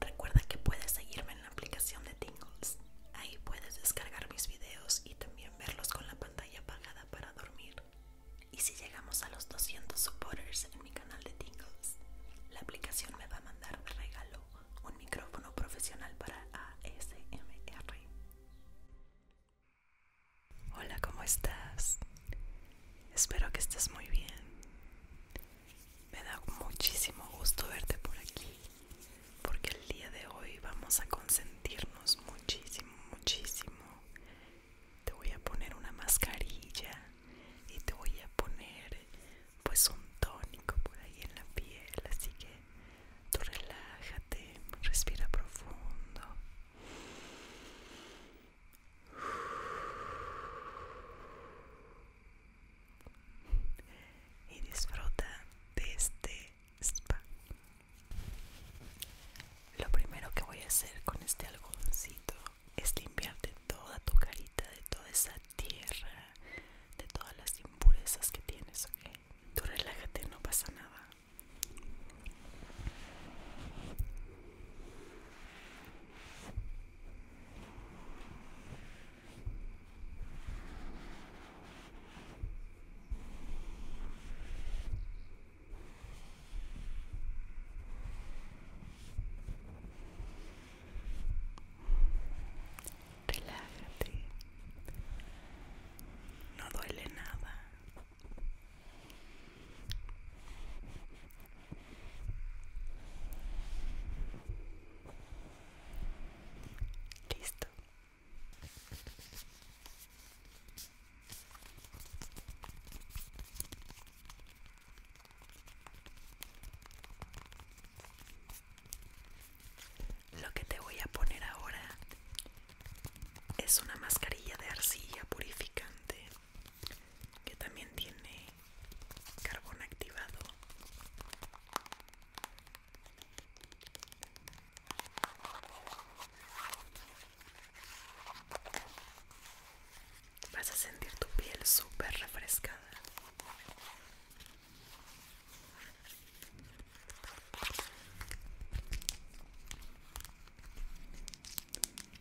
Recuerda que puedes seguirme en la aplicación de Tingles. Ahí puedes descargar mis videos y también verlos con la pantalla apagada para dormir. Y si llegamos a los 200 supporters en mi canal de Tingles, la aplicación me va a mandar de regalo un micrófono profesional para ASMR. Hola, ¿cómo estás? Espero que estés muy bien. Me da muchísimo gusto verte por aquí, porque el día de hoy vamos a consentirnos muchísimo, muchísimo. Te voy a poner una mascarilla y te voy a poner pues un tónico por ahí en la piel, así que tú relájate, respira profundo y disfruta de este spa. Lo primero que voy a hacer con este algodoncito es limpiarte toda tu carita de toda esa tierra, de todas las impurezas que tienes, Okay, Tú relájate, no pasa nada. Relájate. No duele nada. Listo. Lo que te voy a poner ahora es una mascarilla de arcilla purificante que también tiene carbón activado vas a sentir tu piel súper refrescada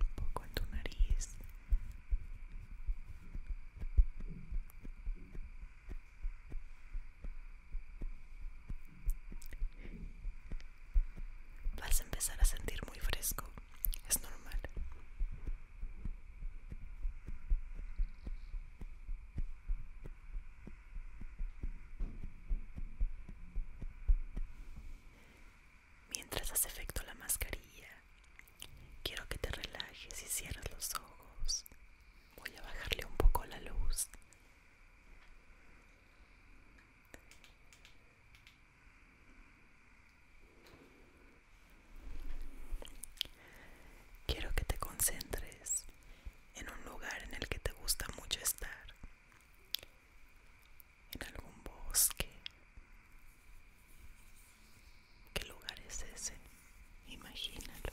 un poco en tu nariz vas a empezar a sentir muy fresco es normal. Mientras hace efecto la mascarilla, quiero que te relajes y cierres los ojos. Voy a bajarle un poco la luz. Quiero que te concentres en un lugar en el que te gusta mucho estar, en algún bosque. ¿Qué lugar es ese? Imagínalo.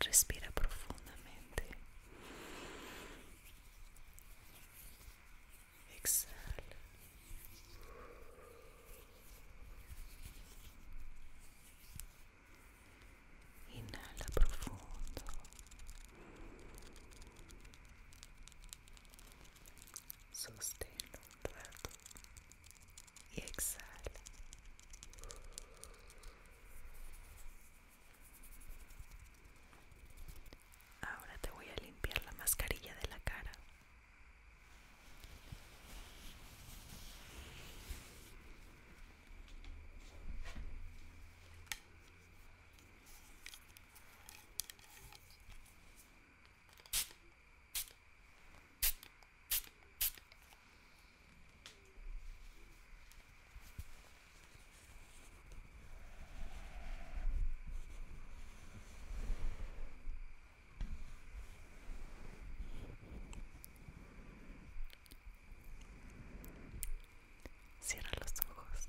Respira profundamente. Exhale. Inhala profundo. Sostenlo un Ahora te voy a limpiar la mascarilla de la cara. Cierra los ojos.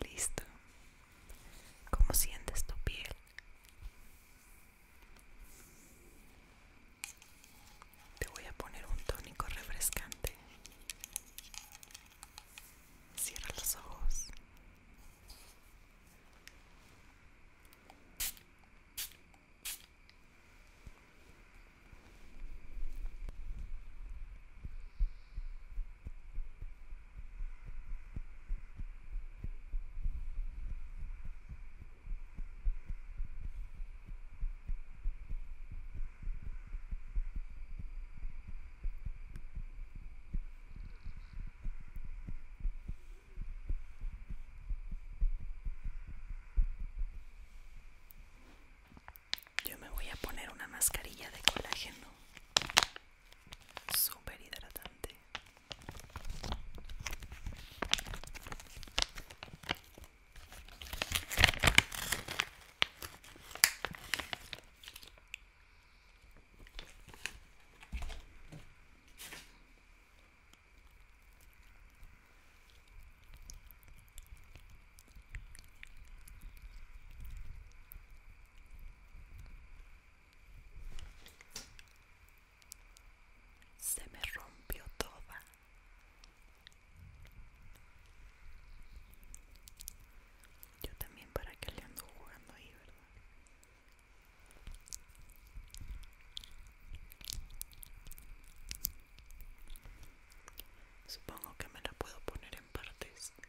Listo. ¿Cómo sientes tu piel? Te voy a poner un tónico refrescante. Cierra los ojos. Yo me voy a poner una mascarilla de colágeno super hidratante se me rompió toda. Yo también para que le ando jugando ahí, ¿verdad? Supongo que me la puedo poner en partes.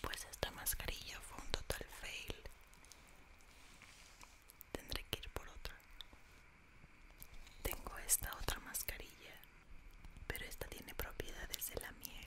Pues esta mascarilla fue un total fail. Tendré que ir por otra. Tengo esta otra mascarilla, pero esta tiene propiedades de la miel.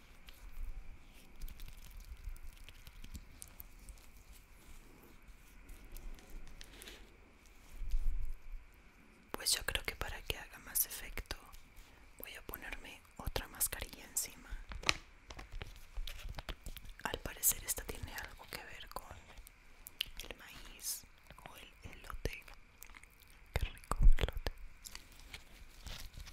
Pues yo creo que para que haga más efecto voy a ponerme otra mascarilla encima. Al parecer esta tiene algo que ver con el maíz o el elote. Qué rico elote.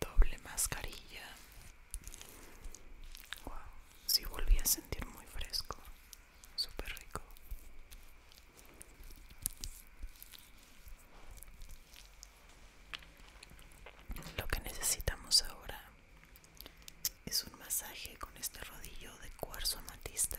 Doble mascarilla. Wow, sí volví a sentir muy fresco, súper rico. Lo que necesitamos ahora es un masaje con este rodillo de cuarzo amatista.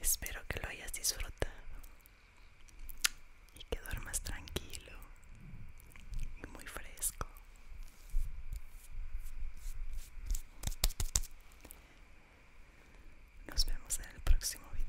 Espero que lo hayas disfrutado y que duermas tranquilo y muy fresco. Nos vemos en el próximo video.